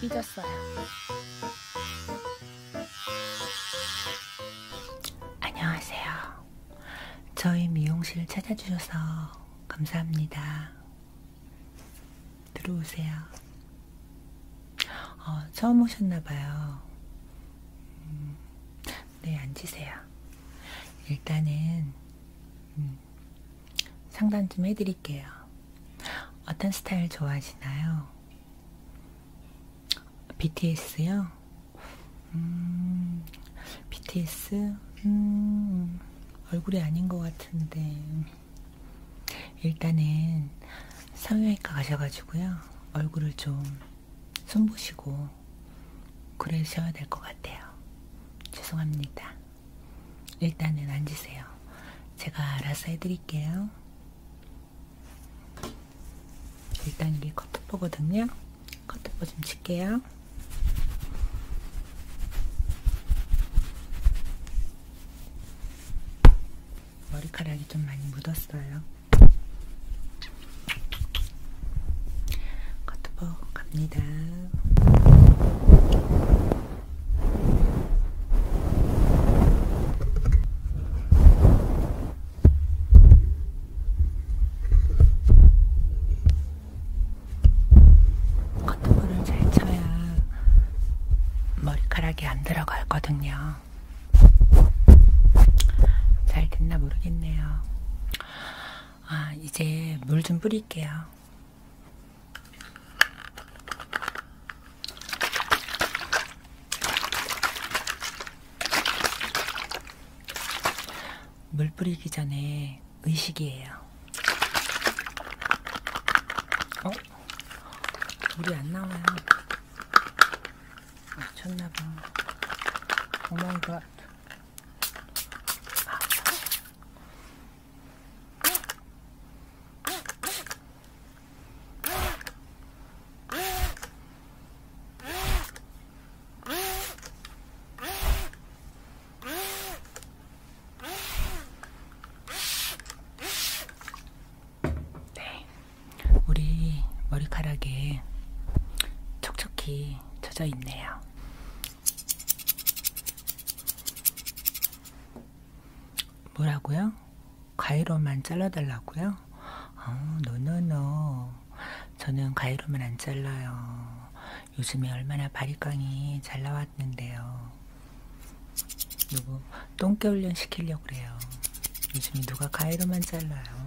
삐졌어요. 안녕하세요. 저희 미용실 찾아주셔서 감사합니다. 들어오세요. 어, 처음 오셨나봐요. 음, 네, 앉으세요. 일단은 음, 상담 좀 해드릴게요. 어떤 스타일 좋아하시나요? BTS요? 음, BTS? 음, 얼굴이 아닌 것 같은데. 음. 일단은 성형외과 가셔가지고요. 얼굴을 좀 숨보시고 그러셔야 될 것 같아요. 죄송합니다. 일단은 앉으세요. 제가 알아서 해드릴게요. 일단 이게 커트포거든요. 커트포 좀 칠게요. 머리카락이 좀 많이 묻었어요. 커트버 갑니다. 커트볼을 잘 쳐야 머리카락이 안 들어가거든요. 잘 됐나 모르겠네요. 아, 이제 물 좀 뿌릴게요. 물 뿌리기 전에 의식이에요. 어? 물이 안 나와요. 맞췄나봐. 오마이갓. 네, 우리 머리카락에 촉촉히 젖어 있네요. 뭐라고요? 가위로만 잘라달라고요? 어, 노노노. 저는 가위로만 안 잘라요. 요즘에 얼마나 바리깡이 잘 나왔는데요. 요거 똥개 훈련 시키려고 그래요. 요즘에 누가 가위로만 잘라요.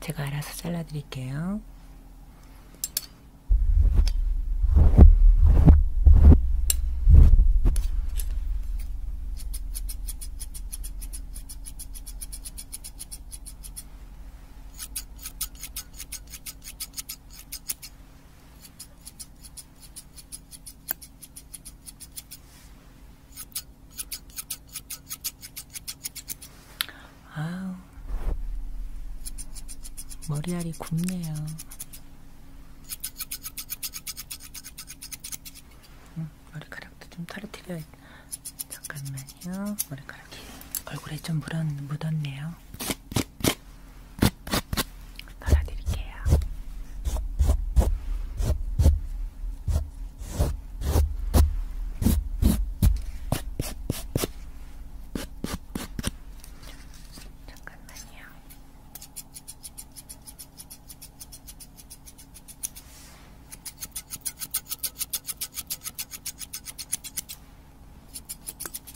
제가 알아서 잘라드릴게요. 아우, 머리알이 굽네요. 응, 머리카락도 좀 털어드려야겠다. 잠깐만요. 머리카락이 얼굴에 좀 묻었네요. 털어드릴게요. 잠깐만요.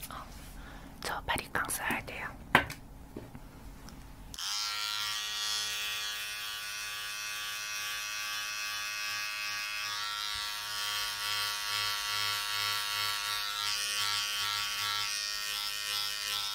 어, 저 바리깡 써야 돼요.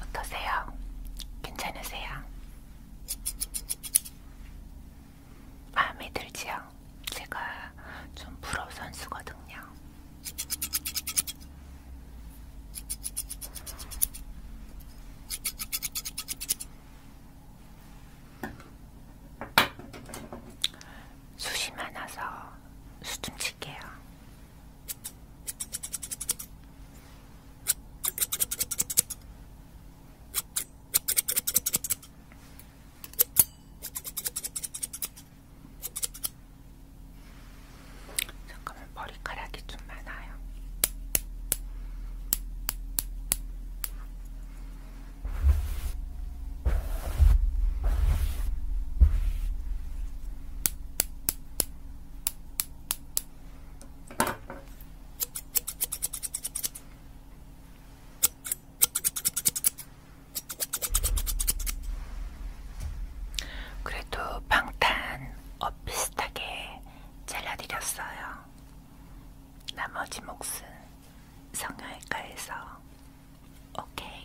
어떠세요? 괜찮으세요? 마음에 들지요? 제가 좀 프로 선수거든요. 숱이 많아서 수좀 칠게요. 잠깐만. 머리카락이 좀 많아요. 그래도 방탄 엇비슷하게 잘라드렸어요. 나머지 몫은 성형외과에서 오케이.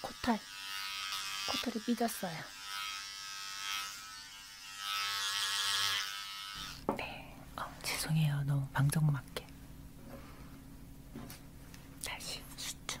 코털 코털이 삐졌어요 네 어, 죄송해요 너무 방정 맞게 다시 수춤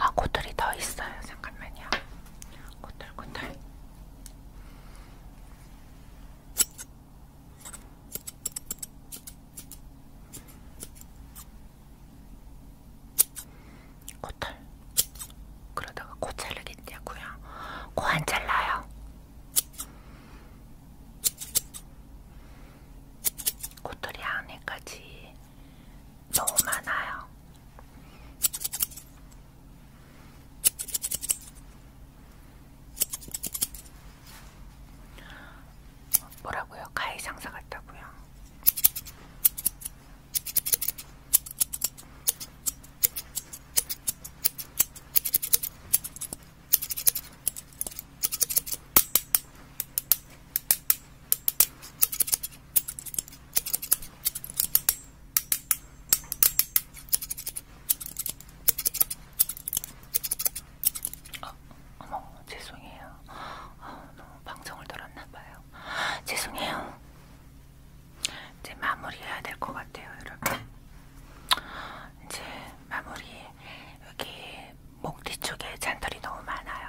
아, 고들이 더 있어요. 잠깐만요. 고들, 고들. 코털 그러다가 코 자르겠냐고요? 코 안 잘라요. 코털이 안에까지 너무 많아요. 뭐라고요? 가해 장사 같다고요? 어, 어머 죄송해요. 어, 너무 방송을 들었나봐요. 죄송해요. 이제 마무리해야 될 것 같아요, 여러분. 이제 마무리 여기 목 뒤쪽에 잔털이 너무 많아요.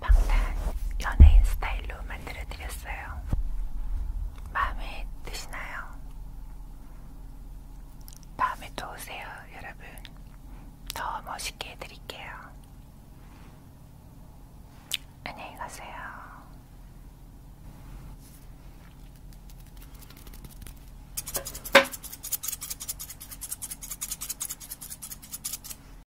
방탄 연예인 스타일로 만들어드렸어요. 마음에 드시나요? 다음에 또 오세요, 여러분. 더 멋있게 해드릴게요. 안녕히 가세요.